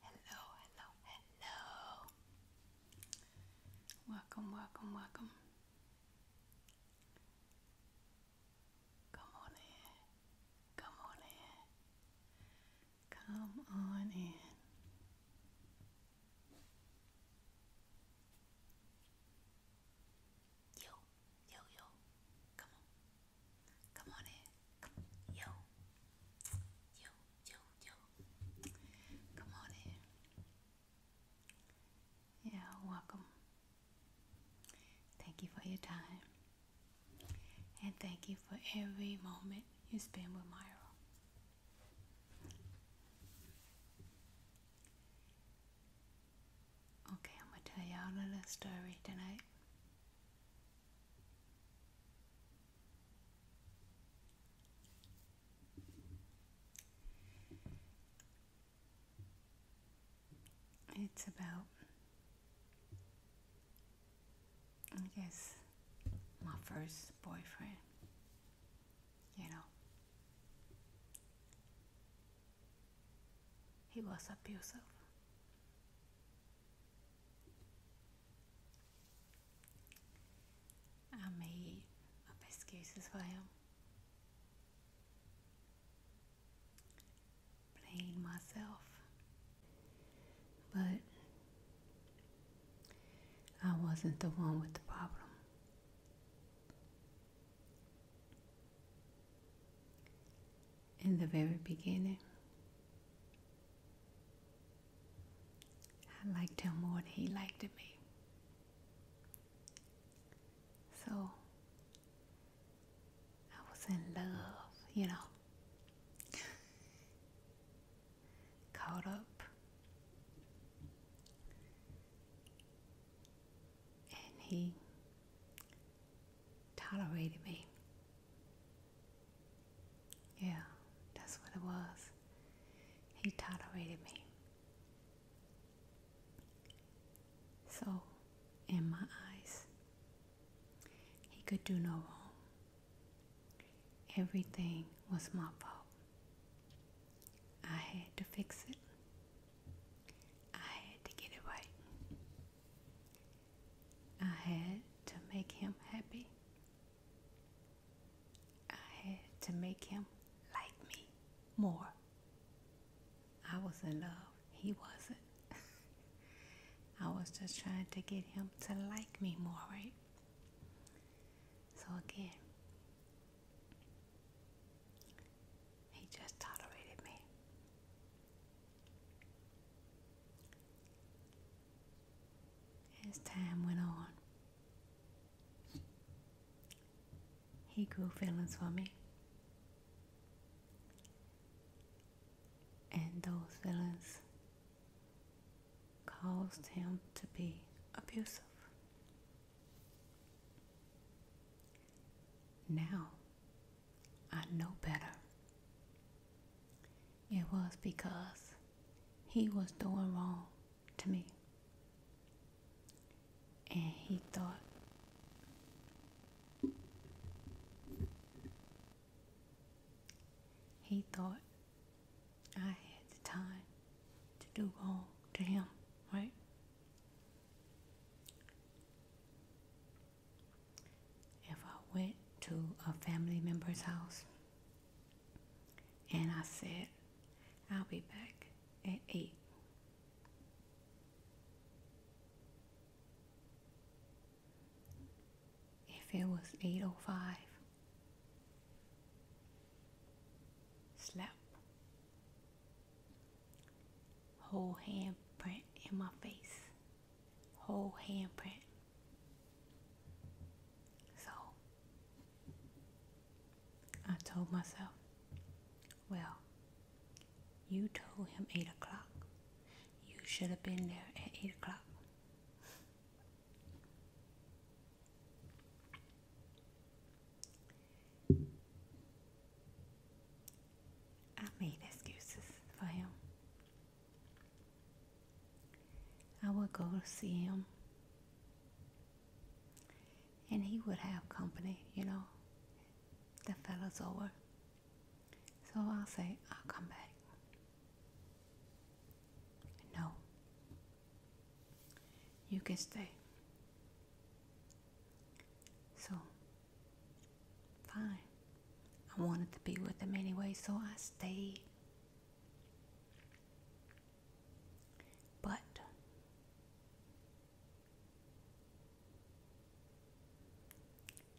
Hello, hello, hello. Welcome, welcome, welcome. Come on in. Come on in. Come on in. Yo, yo, yo. Come on. Come on in. yo. Yo, yo, yo. Come on in. Yeah, welcome. Thank you for your time. And thank you for every moment you spend with Myra. Okay, I'm gonna tell y'all a little story tonight. It's about, I guess, my first boyfriend, you know. He was abusive. I may eat a biscuit as well. myself. But I wasn't the one with the problem. In the very beginning, I liked him more than he liked me. So I was in love, you know. Caught up. And he tolerated me. Yeah, that's what it was. He tolerated me. So, in my eyes, he could do no wrong. Everything was my fault. I had to fix it. I had to get it right. I had to make him happy. I had to make him like me more. I was in love. He wasn't. I was just trying to get him to like me more, right? So again, he just tolerated me. As time went on, he grew feelings for me. And those feelings caused him to be abusive. Now I know better. It was because he was doing wrong to me. And he thought he thought I had the time to do wrong to him, right? if I went to a family member's house and I said, I'll be back at 8. If it was 8.05, slap. Whole handprint in my face whole handprint. So I told myself, well, you told him 8 o'clock. You should have been there at 8 o'clock. I made excuses for him. I would go to see him, and he would have company, you know, the fella's over. So I'll say, I'll come back. No, you can stay. So Fine. I wanted to be with him anyway, so I stayed. But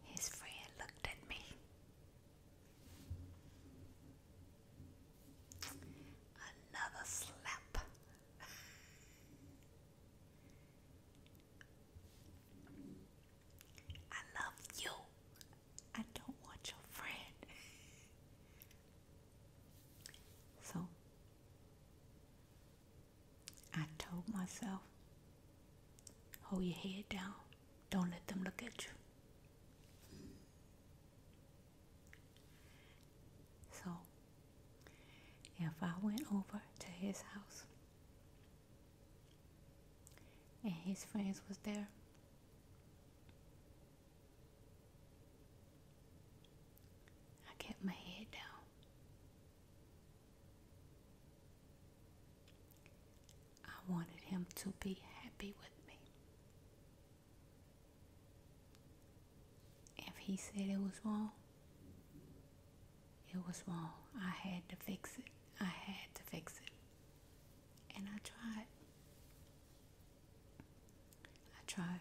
his friend looked at me. Another slap. I love you. I don't want your friend. so I told myself, hold your head down. Don't let them look at you. So if I went over to his house, and his friends was there I kept my head down I wanted him to be happy with me if he said it was wrong it was wrong. I had to fix it. I had to fix it. And I tried. I tried.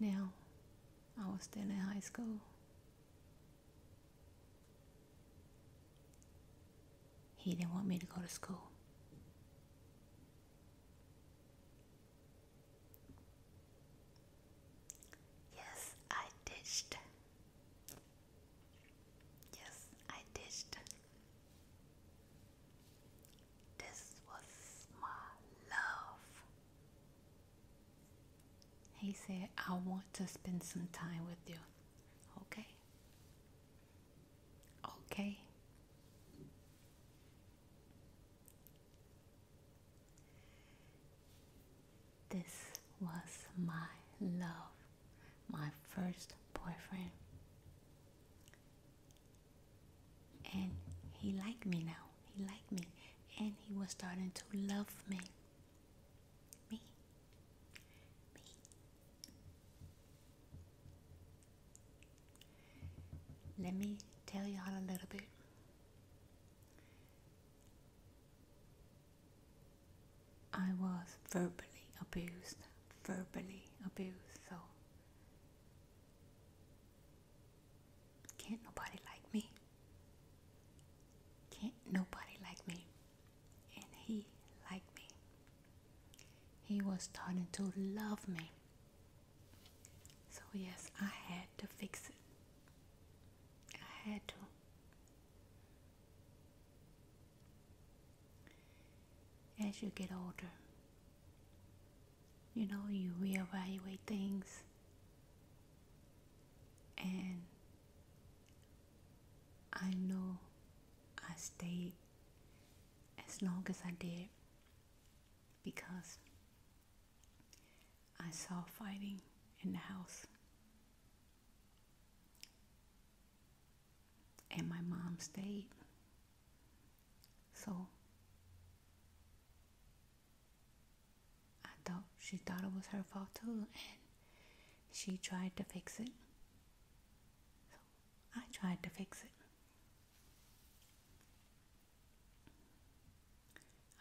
Now, I was still in high school. He didn't want me to go to school. Yes, I ditched. Yes, I ditched. This was my love. He said, I want to spend some time with you. Okay. Okay. This was my love, my first boyfriend. And he liked me now. He liked me. And he was starting to love me. Me. Me. Let me tell y'all a little bit. I was verbally abused, verbally abused, so can't nobody like me. Can't nobody like me. And he liked me. He was starting to love me. So, yes, I had to fix it. I had to. As you get older, you know, you reevaluate things and I know I stayed as long as I did because I saw fighting in the house. And my mom stayed. So I thought she thought it was her fault too, and she tried to fix it. I tried to fix it.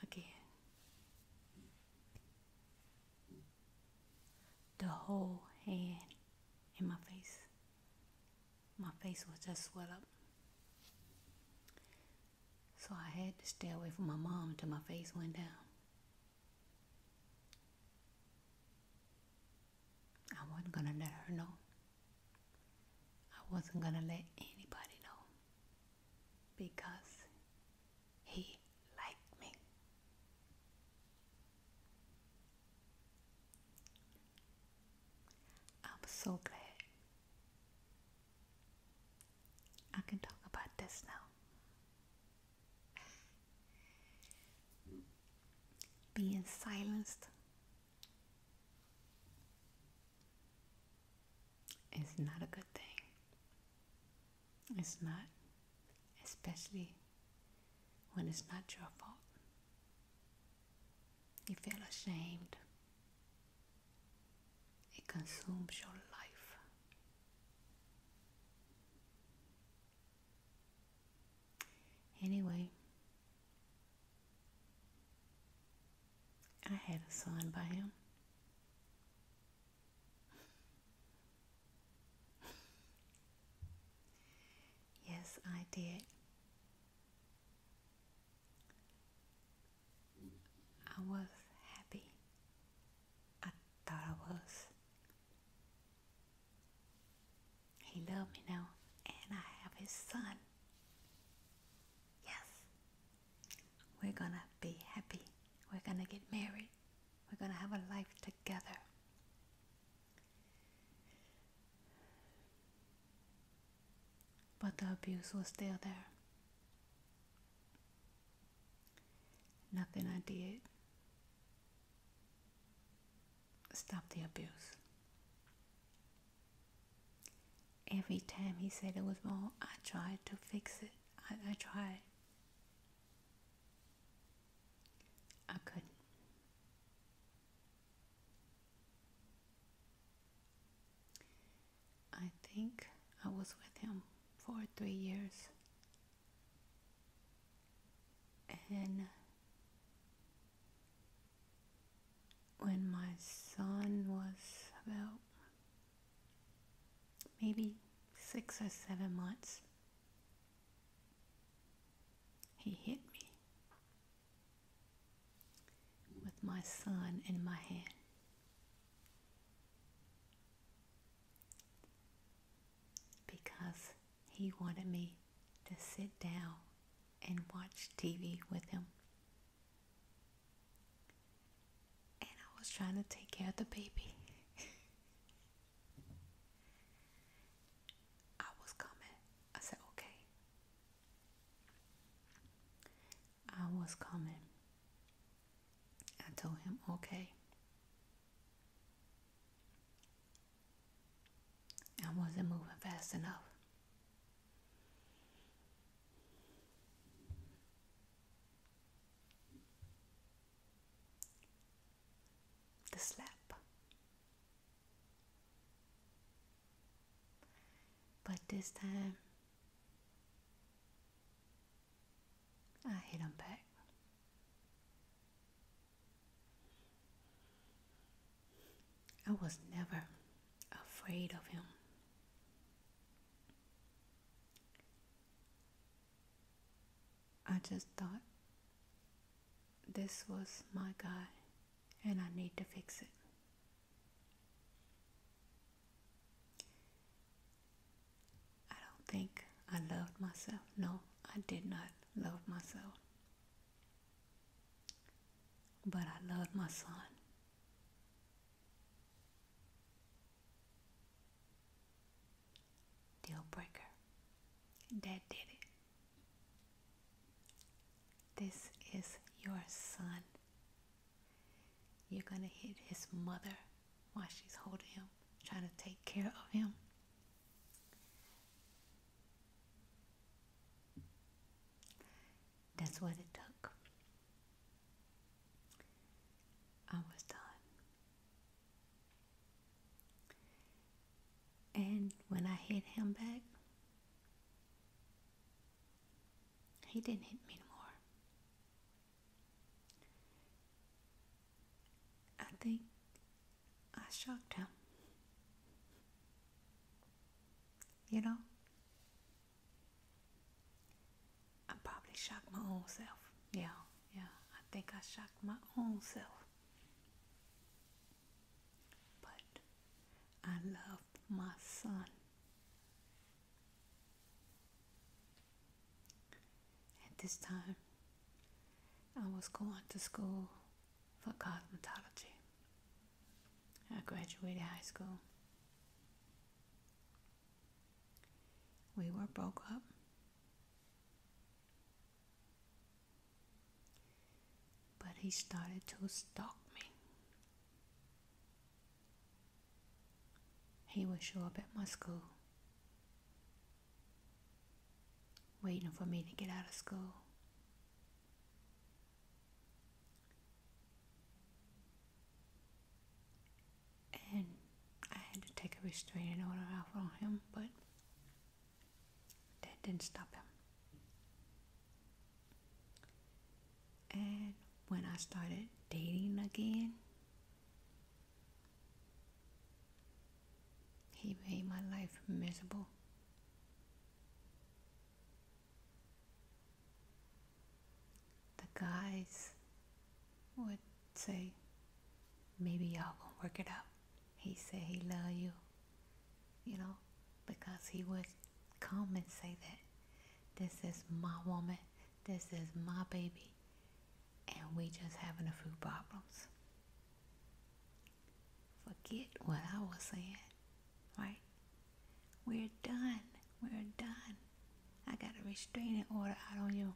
Again, the whole hand in my face. My face was just swell up. So I had to stay away from my mom until my face went down. I wasn't going to let her know. I wasn't gonna let anybody know because he liked me. I'm so glad I can talk about this now. Being silenced it's not a good thing. It's not, especially when it's not your fault. You feel ashamed. It consumes your life. Anyway, I had a son by him. yes, I did. I was happy. I thought I was. He loved me now, and I have his son. Yes. We're gonna be happy. We're gonna get married. We're gonna have a life together. But the abuse was still there. Nothing I did stopped the abuse. Every time he said it was wrong, I tried to fix it. I, I tried. I couldn't. I think I was with him for three years. And when my son was about maybe six or seven months, he hit me with my son in my hand. Because he wanted me to sit down and watch TV with him. And I was trying to take care of the baby. I was coming. I said, okay. I was coming. I told him, okay. I wasn't moving fast enough the slap. But this time, I hit him back. I was never afraid of him. I just thought this was my guy and I need to fix it. I don't think I loved myself. No, I did not love myself. But I love my son. Deal breaker. Dad did it. This is your son. You're going to hit his mother while she's holding him, trying to take care of him. That's what it took. I was done. And when I hit him back, he didn't hit me anymore. I think I shocked him. You know? I probably shocked my own self. Yeah, yeah. I think I shocked my own self. But I loved my son. At this time, I was going to school for cosmetology. I graduated high school. We were broke up. But he started to stalk me. He would show up at my school, waiting for me to get out of school. And I had to take a restraining order out on him, but that didn't stop him. And when I started dating again, he made my life miserable the guys would say, maybe y'all going work it out. He said he love you, you know, because he would come and say that this is my woman, this is my baby, and we just having a few problems. Forget what I was saying, right? We're done. We're done. I got to restrain it or I don't know.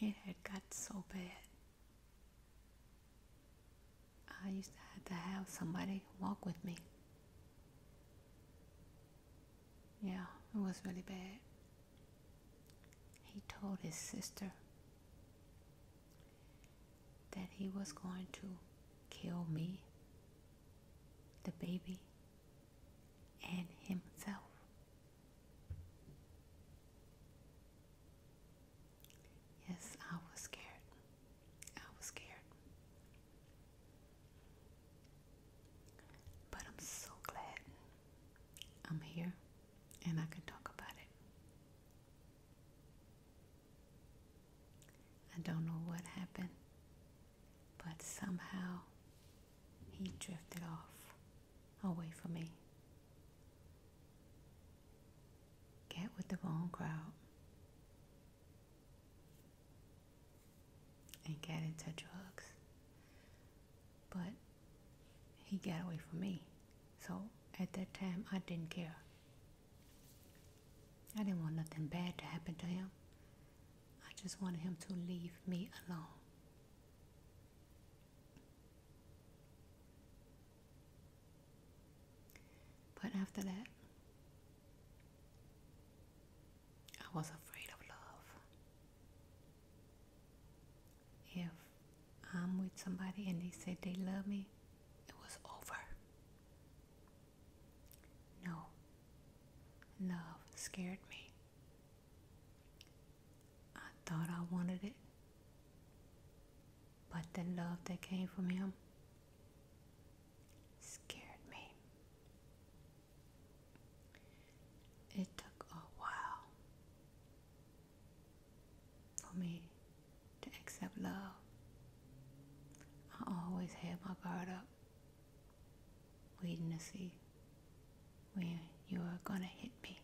It had got so bad. I used to have to have somebody walk with me. Yeah, it was really bad. He told his sister that he was going to kill me, the baby, and himself. Yes, I was scared. I was scared. But I'm so glad I'm here and I can talk about it. I don't know what happened, but somehow he drifted off away from me. Get with the wrong crowd and get into drugs. But he got away from me. So at that time, I didn't care. I didn't want nothing bad to happen to him. I just wanted him to leave me alone. But after that, I was afraid of love. If I'm with somebody and they said they love me, it was over. No, love scared me. I thought I wanted it, but the love that came from him scared me. It took a while for me to accept love. I always had my guard up, waiting to see when you are going to hit me.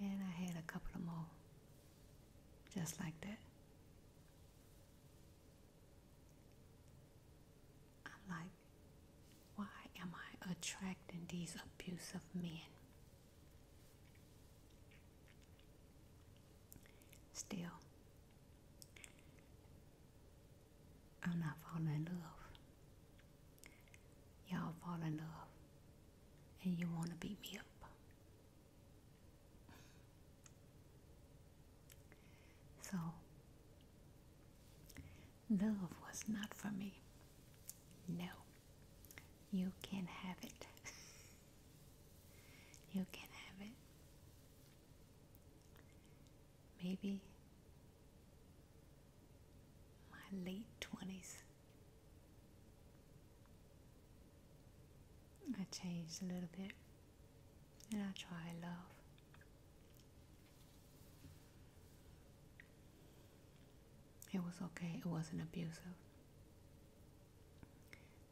And I had a couple of more just like that. I'm like, why am I attracting these abusive men? Still, I'm not falling in love. Y'all fall in love and you want to beat me up. So, love was not for me. No, you can have it. you can have it. Maybe my late 20s. I changed a little bit and that's what I love. It was okay, it wasn't abusive.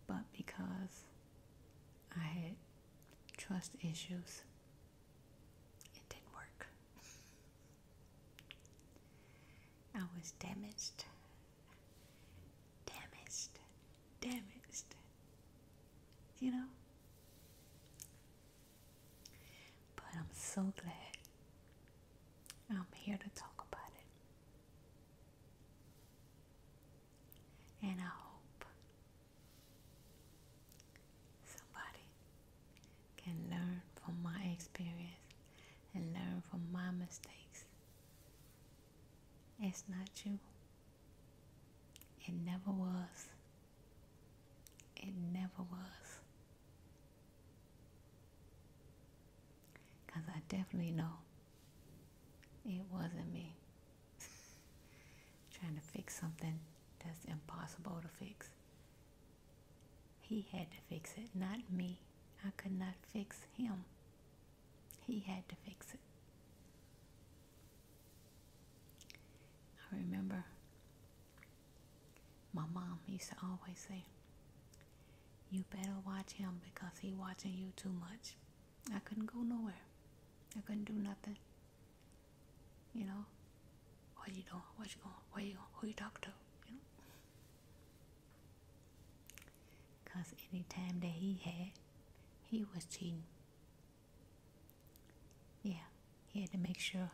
But because I had trust issues, it didn't work. I was damaged, damaged, damaged, you know? But I'm so glad I'm here to talk about it. And I hope somebody can learn from my experience and learn from my mistakes. It's not you. It never was. It never was. Because I definitely know it wasn't me trying to fix something that's impossible to fix. He had to fix it, not me. I could not fix him. He had to fix it. I remember my mom used to always say, You better watch him because he watching you too much. I couldn't go nowhere. I couldn't do nothing. You know, what you doing? What you going? Where you going? Who you talking to? You know? Because any time that he had, he was cheating. Yeah, he had to make sure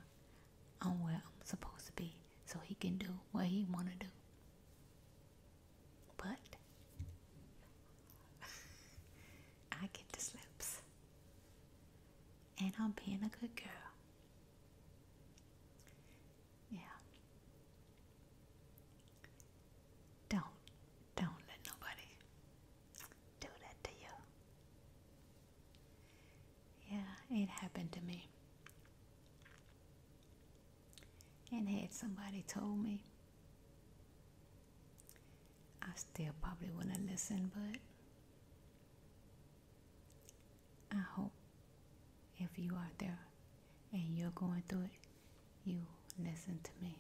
I'm where I'm supposed to be so he can do what he want to do. But I get the slips. And I'm being a good girl. Yeah. Don't, don't let nobody do that to you. Yeah, it happened to me. And had somebody told me, I still probably wouldn't listen, but I hope if you are there and you're going through it, you listen to me.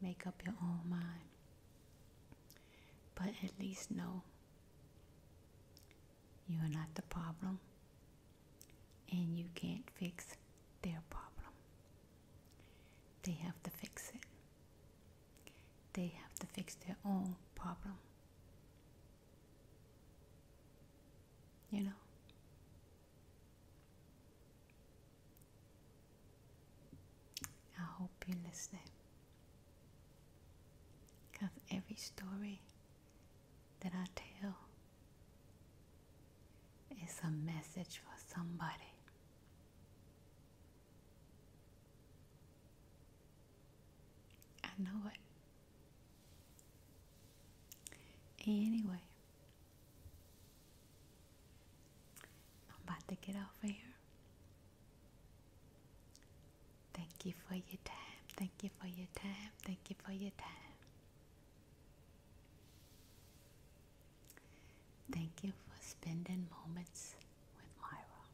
Make up your own mind. But at least know you are not the problem and you can't fix their problem. They have to fix it. They have to fix their own problem. You know? I hope you listen, Because every story that I tell is a message for somebody. I know it. Anyway, I'm about to get over here. Thank you for your time. Thank you for your time. Thank you for your time. Thank you for spending moments with Myra.